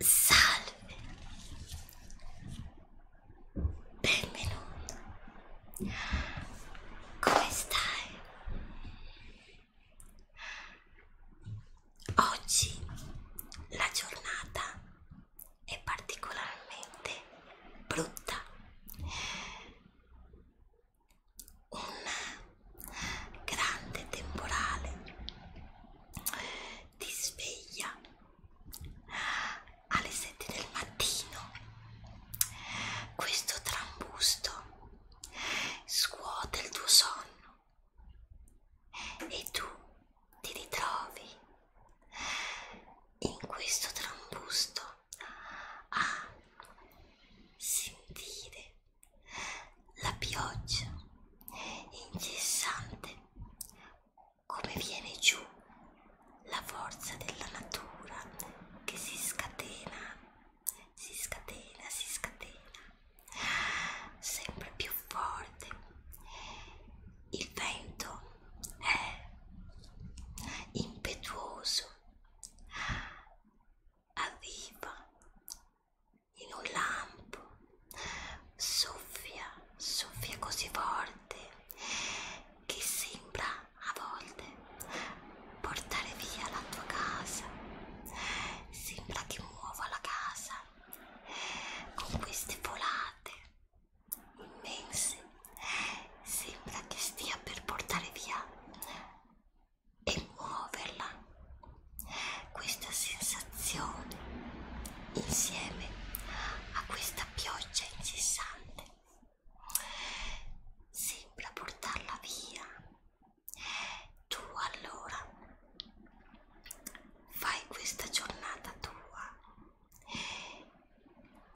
Salve, benvenuto. Come stai? Oggi la giornata è particolarmente brutta. Un grande temporale ti sveglia alle 7 del mattino questo trambusto scuote il tuo sonno e tu ti ritrovi in questo trambusto a sentire la pioggia incessante, come viene giù la forza della natura che si scatena, si scatena, si scatena, sempre più forte. Il vento è impetuoso, arriva in un lampo, soffia, soffia così forte che sembra a volte portare via la tua casa, sembra che muova la casa con queste volate immense, sembra che stia per portare via e muoverla. Questa sensazione, insieme a questa pioggia incessante, sembra portarla via. Tu allora fai questa giornata tua.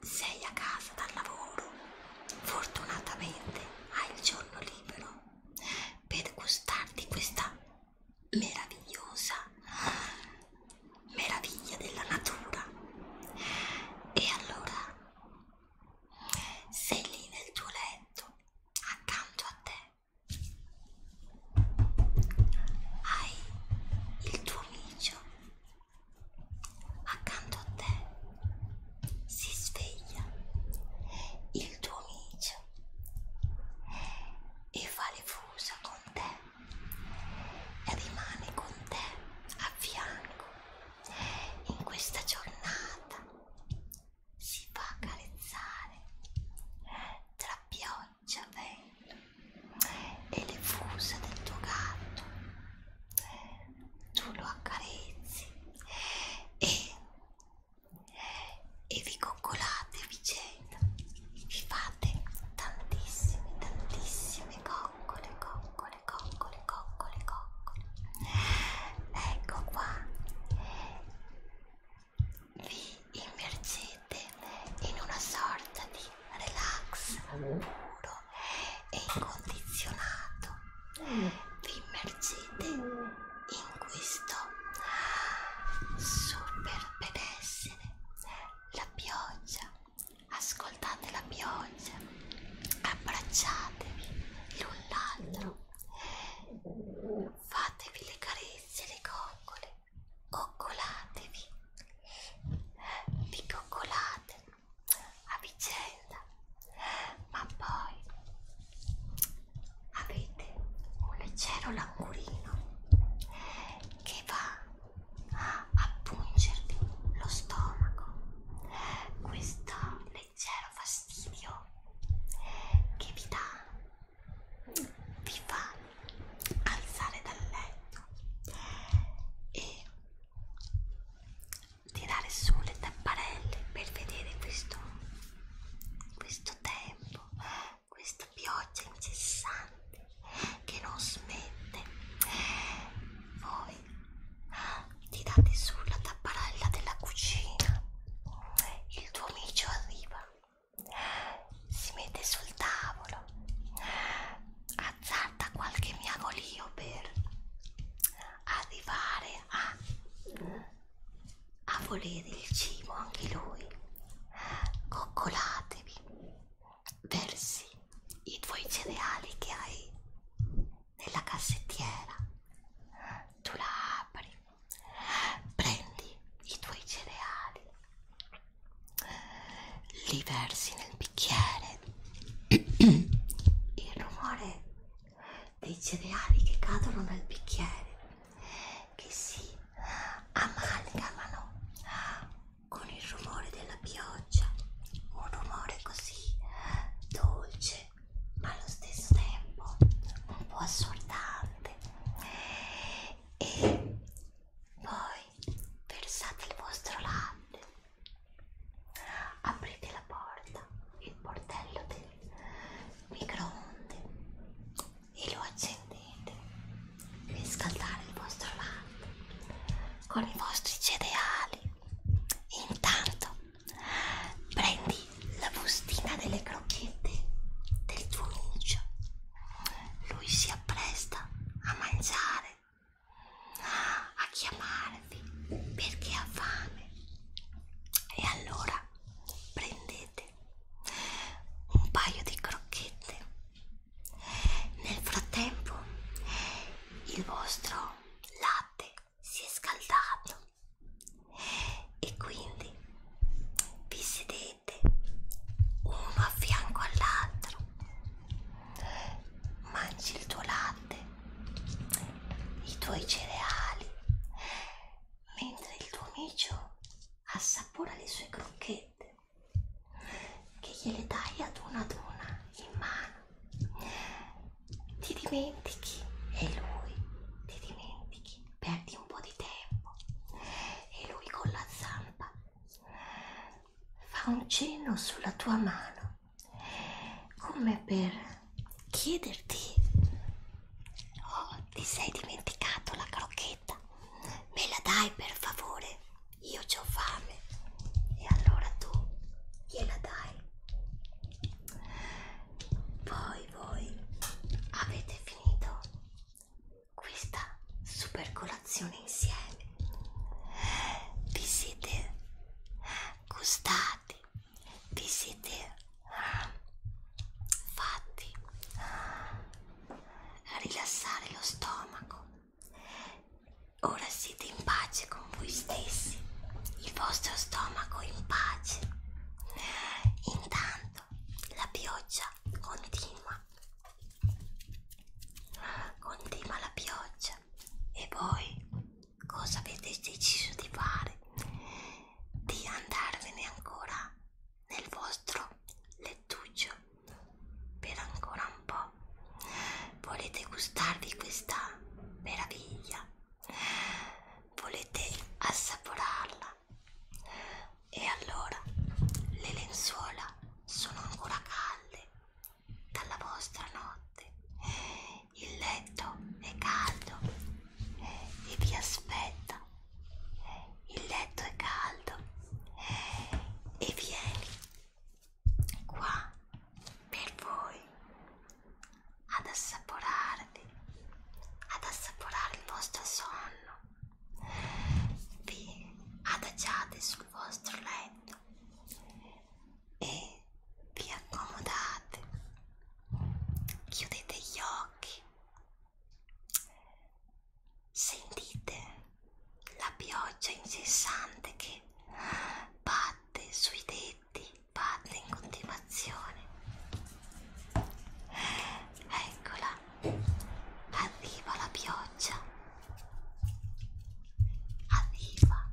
Sei a casa dal lavoro, fortunatamente hai il giorno libero per gustarti questa meravigliosa meraviglia della natura e allora sei lì nel tuo letto accanto a te hai il tuo micio accanto a te si sveglia il tuo micio e fa le fusa con te e rimane con te a fianco in questa giornata si fa carezzare tra pioggia, vento e le fusa del tuo gatto tu lo accarezzi e e vi coccolate a vicenda, vi fate tantissime, tantissime coccole, coccole, coccole, coccole, coccole. Ecco qua, vi immergete in una sorta di relax puro e incondizionato, vi immergete in, in questo super benessere la pioggia ascoltate la pioggia abbracciatevi l'un l'altro fatevi le carezze le coccole coccolatevi vi coccolate a vicenda ma poi avete un leggero languorino che va a appungervi lo stomaco questo leggero fastidio che vi dà vi fa alzare dal letto e tirare su le tapparelle per vedere questo questo tè dopo questa pioggia incessante che non smette voi ti date sulla tapparella della cucina il tuo amico arriva si mette sul tavolo azzarda qualche miagolio per arrivare a a volere il cibo anche lui. Coccolatevi, versi i tuoi cereali che hai nella cassettiera. Tu la apri, prendi i tuoi cereali, li versi nel bicchiere. Il rumore dei cereali che cadono nel bicchiere che si amalgamano con il rumore della pioggia un rumore così dolce ma allo stesso tempo un po' assordante e poi versate il vostro latte aprite la porta il portello del microonde e lo accendete per scaldare il vostro latte con i vostri cereali. Intanto prendi la bustina delle crocchette del tuo amico. Lui si appresta a mangiare, a chiamarvi perché ha fame. E allora prendete salate, un paio di crocchette. Nel frattempo il vostro latte si è scaldato e quindi vi sedete uno a fianco all'altro, mangi il tuo latte, i tuoi cereali mentre il tuo amico assapora le sue crocchette che gliele dai ad una ad una in mano ti dimentichi e lui ti dimentichi perdi un po' di tempo e lui con la zampa fa un cenno sulla tua mano come per chiederti Oh, ti sei dimenticato la crocchetta? Me la dai per favore? Io ho fame. E allora tu gliela dai. Poi voi avete finito questa super colazione insieme. Vi siete gustati vi siete eh, fatti eh, rilassare lo stomaco ora siete in pace con voi stessi il vostro stomaco in pace intanto la pioggia continua continua la pioggia e voi cosa avete deciso di fare di andarvene ancora nel vostro lettuccio per ancora un po'. Volete gustarvi questa meraviglia? Volete assaporarla? E allora le lenzuola sono ancora calde dalla vostra notte. Il letto è caldo e vi aspetta. Il letto è caldo e vieni qua per voi ad assaporarvi, ad assaporare il vostro sonno. Vi adagiate sul vostro letto e vi accomodate. Chiudete gli occhi Sentite la pioggia incessante che batte sui tetti, batte in continuazione. Eccola, arriva la pioggia. Arriva.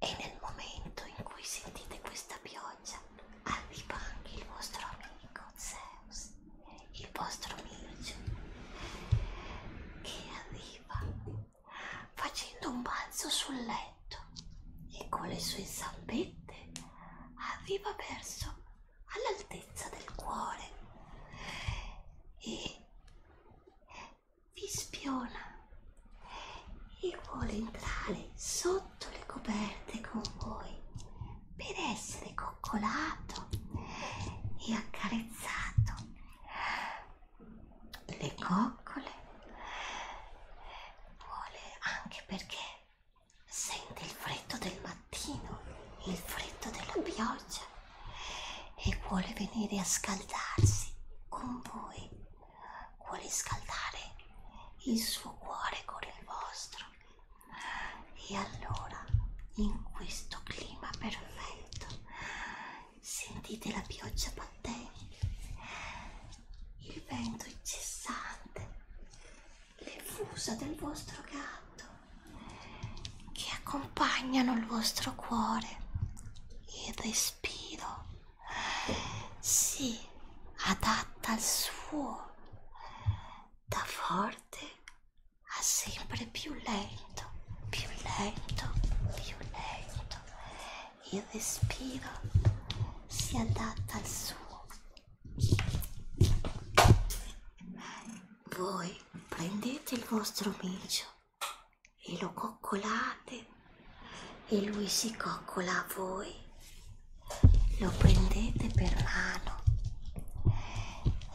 E nel momento in cui sentite questa pioggia, arriva ah, anche il vostro amico Zeus, il vostro amico, che arriva facendo un balzo sul letto e con le sue zampette arriva verso all'altezza del cuore e vi spiona e vuole entrare sotto le coperte con voi per essere coccolato e accarezzato. Le coccole vuole anche perché sente il freddo del mattino, il freddo della pioggia e vuole venire a scaldarsi con voi riscaldare il suo cuore con il vostro e allora in questo clima perfetto sentite la pioggia battente il vento incessante le fusa del vostro gatto che accompagnano il vostro cuore il respiro sì, adatta al suo. Da forte a sempre più lento, più lento, più lento. Il respiro si adatta al suo. Voi prendete il vostro micio e lo coccolate e lui si coccola a voi, lo prendete per mano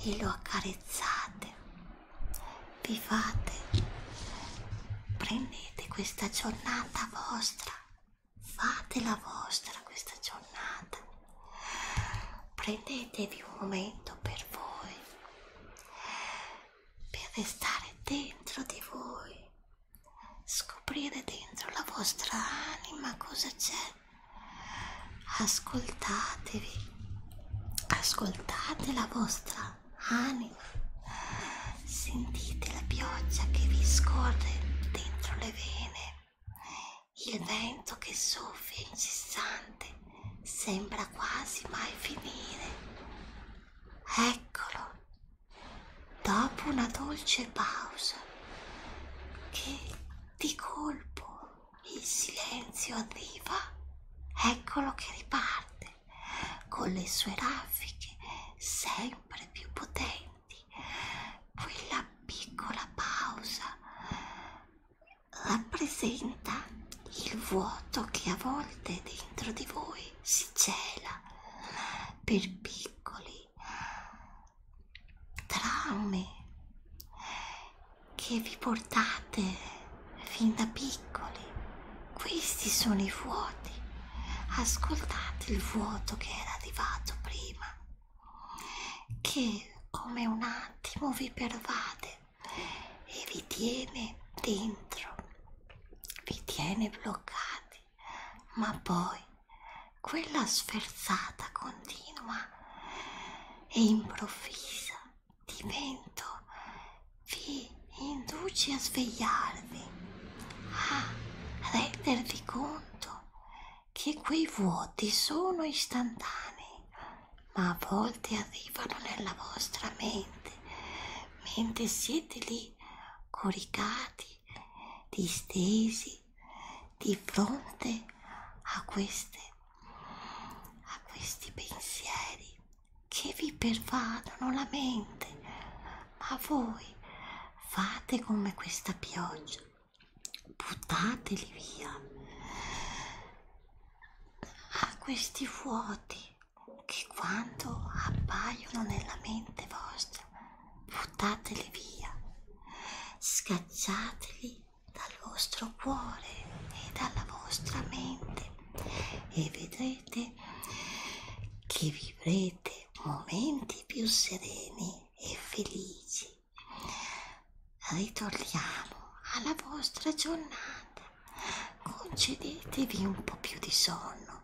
e lo accarezzate, vi fate, prendete questa giornata vostra, fate la vostra questa giornata, prendetevi un momento per voi, per restare dentro di voi scoprire dentro la vostra anima cosa c'è. Ascoltatevi, ascoltate la vostra anima, sentite la pioggia che vi scorre dentro le vene, il vento che soffia incessante, sembra quasi mai finire. Eccolo, Dopo una dolce pausa, che di colpo il silenzio arriva, eccolo che riparte con le sue raffiche sempre più potenti. Quella piccola pausa rappresenta il vuoto che a volte dentro di voi si cela per piccoli traumi che vi portate fin da piccoli. Questi sono i vuoti. Ascoltate il vuoto che era arrivato prima, che come un attimo vi pervade e vi tiene dentro, vi tiene bloccati ma poi quella sferzata continua e improvvisa di vento vi induce a svegliarvi, a rendervi conto che quei vuoti sono istantanei, ma a volte arrivano nella vostra mente mentre siete lì coricati distesi di fronte a, queste, a questi pensieri che vi pervadono la mente, ma voi fate come questa pioggia, buttateli via a questi vuoti che quando appaiono nella mente vostra buttateli via, scacciateli dal vostro cuore e dalla vostra mente e vedrete che vivrete momenti più sereni e felici. Ritorniamo alla vostra giornata, concedetevi un po' più di sonno,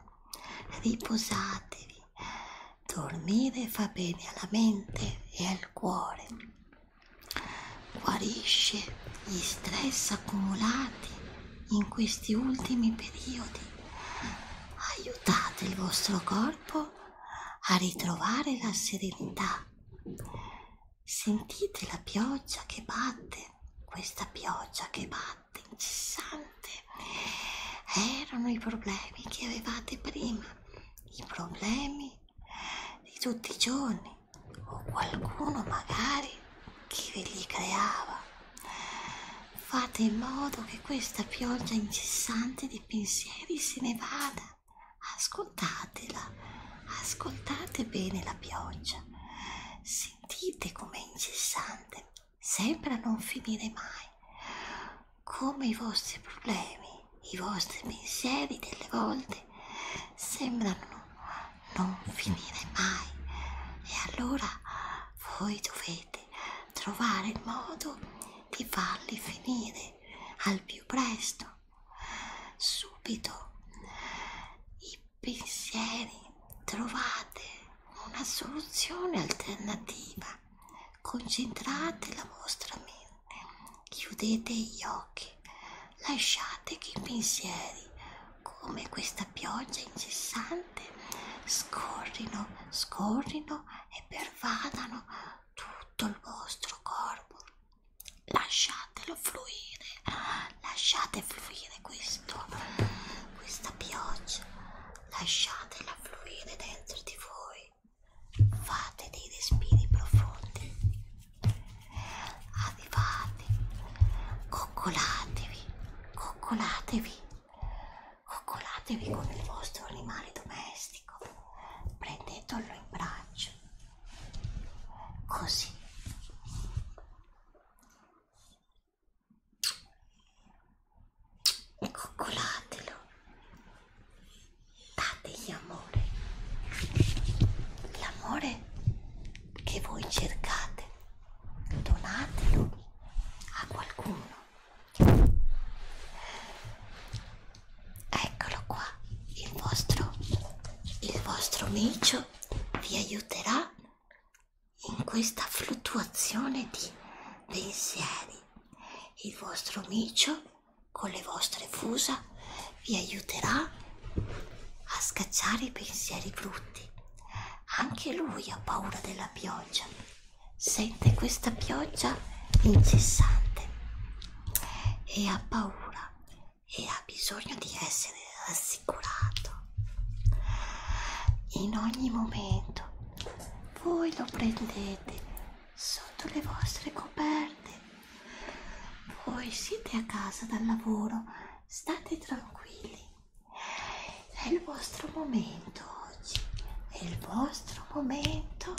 riposatevi Dormire fa bene alla mente e al cuore, guarisce gli stress accumulati in questi ultimi periodi. Aiutate il vostro corpo a ritrovare la serenità. Sentite la pioggia che batte, questa pioggia che batte incessante, incessante. Erano i problemi che avevate prima, i problemi di tutti i giorni o qualcuno magari che ve li creava. Fate in modo che questa pioggia incessante di pensieri se ne vada. Ascoltatela, ascoltate bene la pioggia, sentite com'è incessante sembra non finire mai, come i vostri problemi, i vostri pensieri delle volte sembrano non finire mai e allora voi dovete trovare il modo di farli finire al più presto subito i pensieri trovate una soluzione alternativa. Concentrate la vostra mente, chiudete gli occhi, lasciate che i pensieri, come questa pioggia incessante, scorrino, scorrino e pervadano tutto il vostro corpo. Lasciatelo fluire, lasciate fluire questo, questa pioggia lasciatela fluire dentro di voi, fate dei respiri profondi, arrivate, coccolatevi, coccolatevi, coccolatevi con il vostro animale domestico, prendetelo in braccio, così e coccolatelo dategli amore l'amore che voi cercate donatelo a qualcuno eccolo qua il vostro il vostro micio vi aiuterà in questa fluttuazione di pensieri il vostro micio con le vostre fusa vi aiuterà a scacciare i pensieri brutti anche lui ha paura della pioggia sente questa pioggia incessante e ha paura e ha bisogno di essere rassicurato in ogni momento voi lo prendete sotto le vostre coperte voi siete a casa dal lavoro state tranquilli è il vostro momento oggi è il vostro momento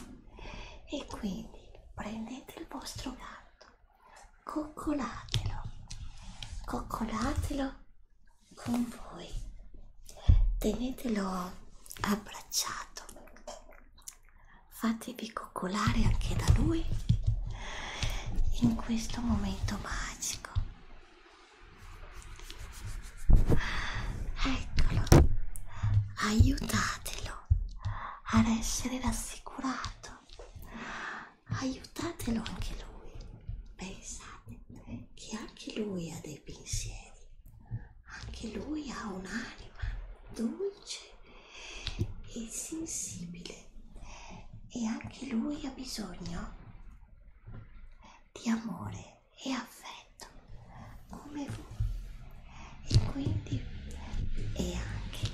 e quindi prendete il vostro gatto coccolatelo coccolatelo con voi tenetelo abbracciato fatevi coccolare anche da lui in questo momento magico eccolo aiutatelo ad essere rassicurato aiutatelo anche lui pensate che anche lui ha dei dei pensieri. Anche lui ha un'anima dolce e sensibile e anche lui ha bisogno di amore e affetto come voi e quindi è anche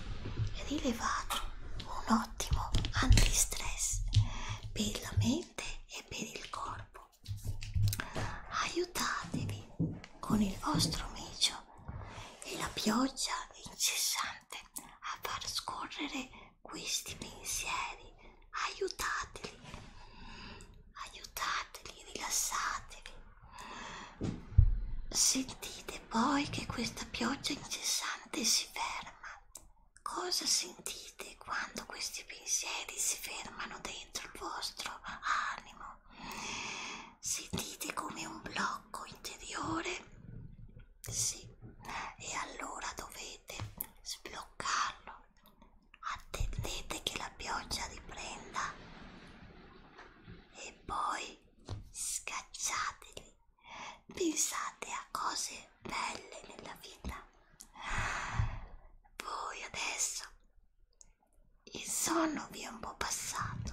rilevato un ottimo antistress per la mente e per il corpo aiutatevi con il vostro micio e la pioggia incessante a far scorrere questi pensieri aiutateli aiutateli rilassatevi sentite poi che questa pioggia incessante si ferma Cosa sentite quando questi pensieri si fermano dentro il vostro animo? Sentite come un blocco interiore? Sì, e allora dovete sbloccarlo. Attendete che la pioggia riprenda e poi scacciateli. Pensate a cose belle nella vita. Voi adesso il sonno vi è un po' passato,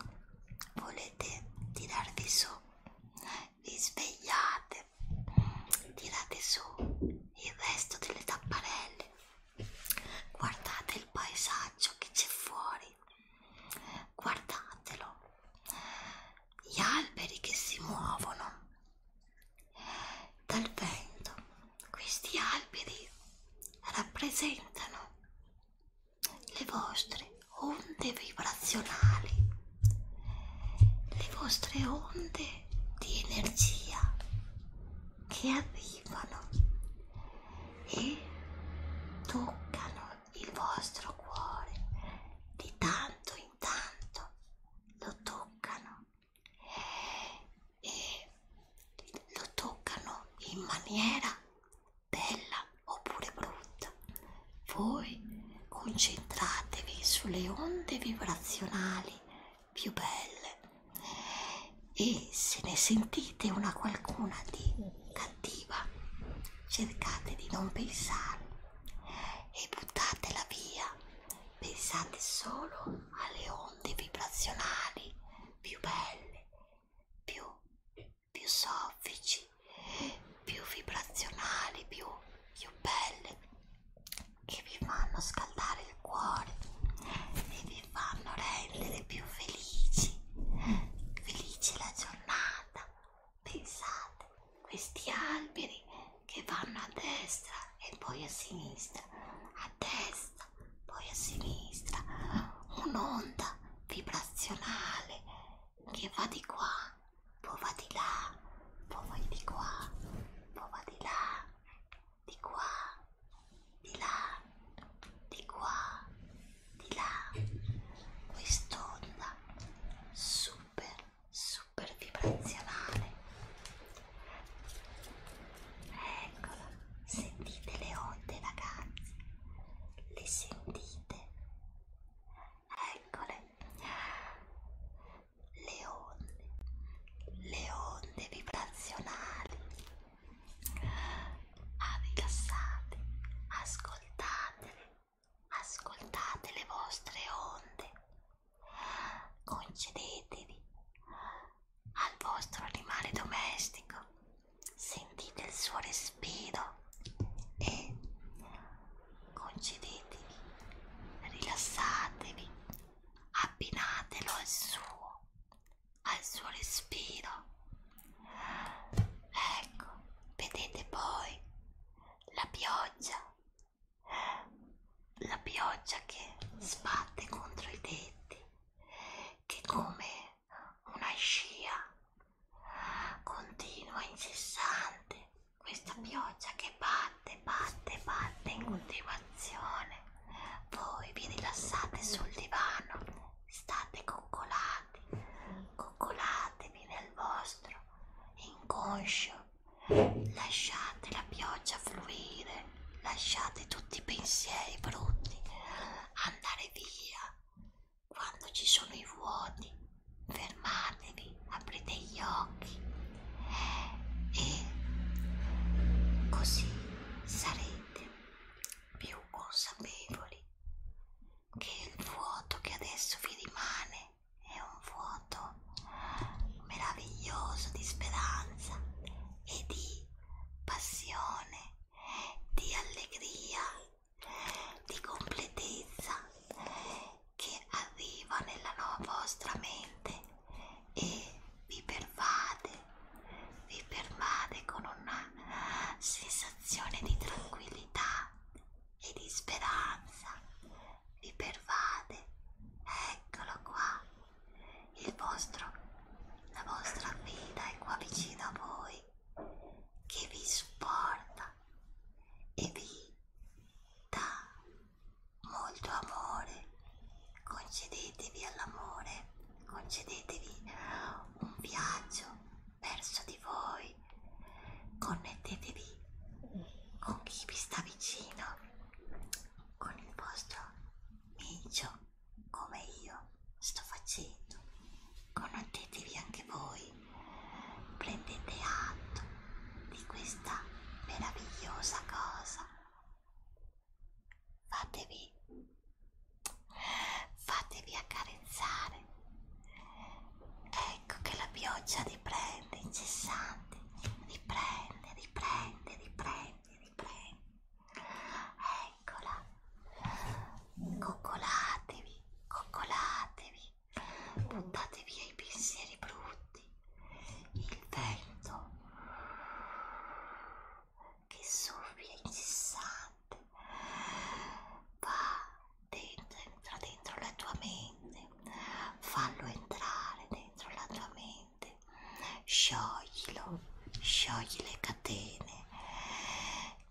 volete tirarvi su, vi svegliate, tirate su il resto delle tapparelle, guardate il paesaggio che c'è fuori, guardatelo, gli alberi che si muovono, dal vento. Questi alberi rappresentano le vostre onde vibrazionali, le vostre onde di energia che arrivano e toccano il vostro cuore di tanto in tanto lo toccano e lo toccano in maniera bella oppure brutta. Voi concentratevi sulle onde vibrazionali più belle e se ne sentite una qualcuna di cattiva cercate di non pensare e buttatela via pensate solo alle onde vibrazionali più belle, più, più soffici, più vibrazionali, più, più belle che vi fanno scaldare il cuore e vi fanno rendere più felici, felice la giornata. Pensate, questi alberi che vanno a destra e poi a sinistra, a destra, poi a sinistra, un'onda vibrazionale che va di qua, poi va di là, poi va di qua, poi va di là, di qua, di là, di qua, di là. Quest'onda super super vibrazionale eccola sentite le onde ragazzi le sentite eccole le onde le onde vibrazionali ah, rilassate ascoltatele ascoltate le vostre onde Concedetevi al vostro animale domestico, sentite il suo respiro e concedetevi, rilassatevi, abbinatelo al suo, al suo respiro. Ecco, vedete poi la pioggia la pioggia che sbatte contro i tetti, che come una scia continua, incessante, questa pioggia che batte, batte, batte in continuazione. Voi vi rilassate sul divano, state coccolati, coccolatevi nel vostro inconscio lasciate la pioggia fluire, lasciate tutti i pensieri brutti andare via. Quando ci sono i vuoti, fermatevi, aprite gli occhi e così sarete più consapevoli che il vuoto che adesso vi rimane è un vuoto meraviglioso di speranza e di passione, di allegria, di completezza che arriva nella vostra mente e vi pervade, vi pervade con una sensazione di tranquillità e di speranza vi pervade. Eccolo qua. Il vostro, la vostra guida è qua vicino a voi che vi supporta e vi dà molto amore. Concedetevi all'amore, concedetevi un viaggio verso di voi, connettetevi con chi vi sta vicino con il vostro micio come io sto facendo connettetevi anche voi prendete atto di questa meravigliosa cosa fatevi fatevi accarezzare ecco che la pioggia di prego riprende i cessanti, riprende, riprende, riprende, riprende. Eccola. Coccolatevi, coccolatevi, buttate via i pensieri brutti. Il vento che soffia incessante va dentro, entra dentro la tua mente bene, fallo entrare dentro la tua mente, scioglilo, sciogli le catene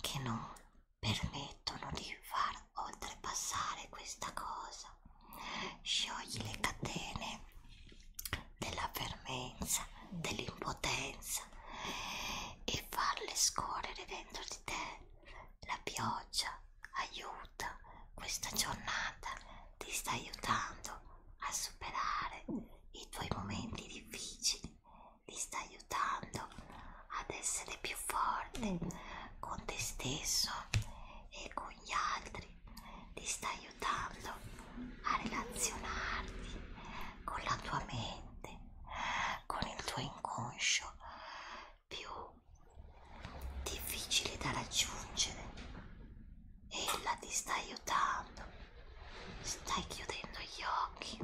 che non permettono di far oltrepassare questa cosa, sciogli le catene della fermenza, dell'impotenza e farle scorrere dentro di te la pioggia aiuto, questa giornata ti sta aiutando a superare i tuoi momenti difficili, ti sta aiutando ad essere più forte con te stesso e con gli altri, ti sta aiutando a relazionarti con la tua mente, con il tuo inconscio più difficile da raggiungere. Ella ti sta aiutando, stai chiudendo gli occhi,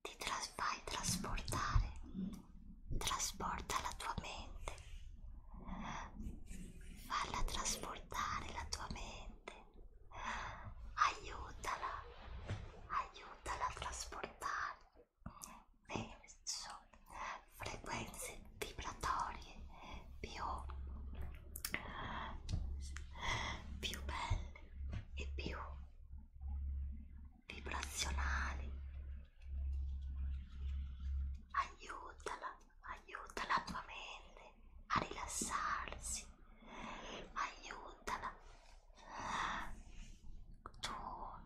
ti tras fai trasportare, trasporta la tua mente, falla trasportare la tua mente, aiutala, aiutala a trasportare. Penso frequenze vibratorie più, più belle e più vibrazionali aiutala aiuta la tua mente a rilassarsi aiutala tu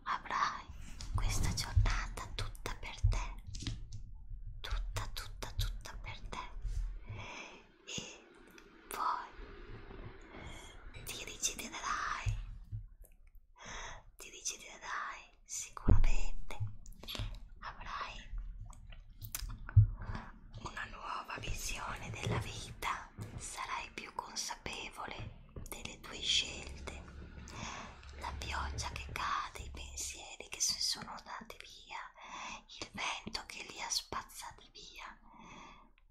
avrai questa giornata tutta per te tutta tutta tutta per te e poi ti deciderai ti deciderai sicuramente avrai una nuova visione della vita sarai più consapevole delle tue scelte la pioggia che cade, i pensieri che si sono dati via, il vento che li ha spazzati via.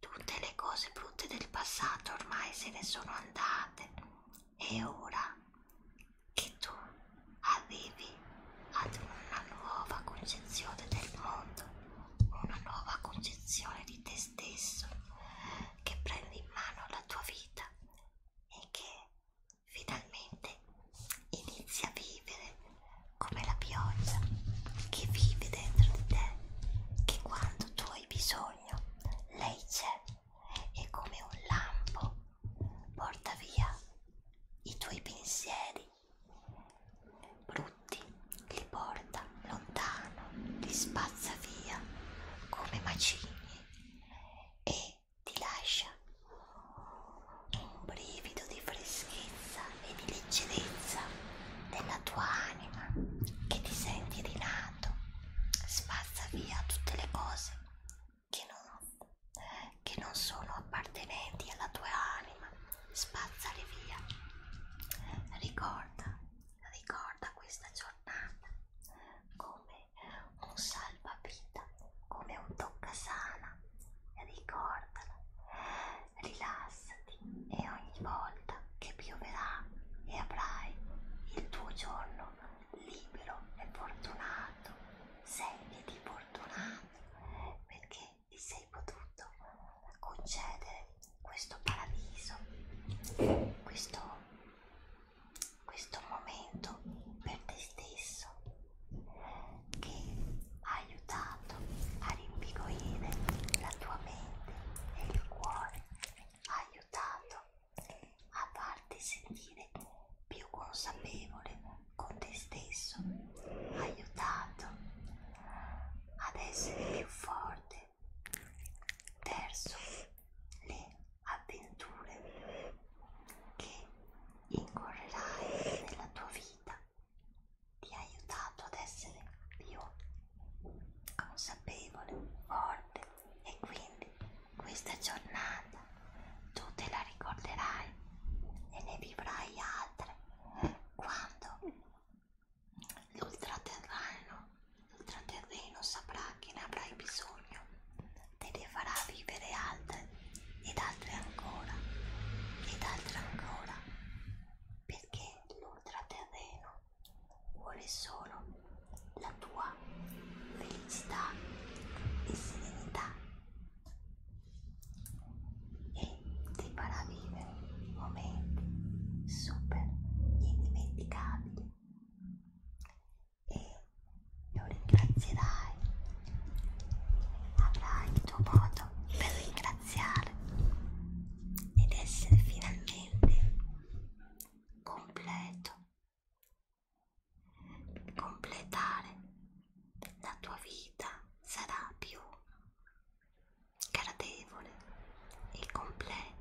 Tutte le cose brutte del passato ormai se ne sono andate e ora che tu arrivi ad una nuova concezione del mondo, una nuova concezione di te stesso, che prendi in mano la tua vita e che finalmente inizia a vivere come la pioggia che vive dentro di te, che quando tu hai bisogno lei c'è e come un lampo porta via i tuoi pensieri brutti, li porta lontano, li spazza via come macigni e che ti lascia un brivido di freschezza e di leggerezza della tua anima che ti senti rinato, spazza via tutte le cose che non, che non sono appartenenti alla tua anima, spazzale via. Ricorda, ricorda questa giornata come un salvavita, come un toccasana. Ricordala, rilassati e ogni volta che pioverà e avrai il tuo giorno libero e fortunato, sentiti fortunato perché ti sei potuto concedere questo paradiso, questo questo momento per te stesso che ha aiutato a rimpigorire la tua mente e il cuore, ha aiutato a farti sentire più consapevole con te stesso, ha aiutato ad essere più forte verso le avventure che incorrerai nella tua vita ti ha aiutato ad essere più consapevole, forte e quindi questa giornata tu te la ricorderai e ne vivrai altre quando l'ultraterreno saprà che ne avrai bisogno, te ne farà vivere altre ed altre ancora ed altre ancora, perché l'ultraterreno vuole solo la tua felicità e serenità e ti farà vivere momenti super indimenticabili e lo ringrazierai. Avrai il tuo modo per ringraziare ed essere finalmente completo. Completare la tua vita sarà più gradevole e completa.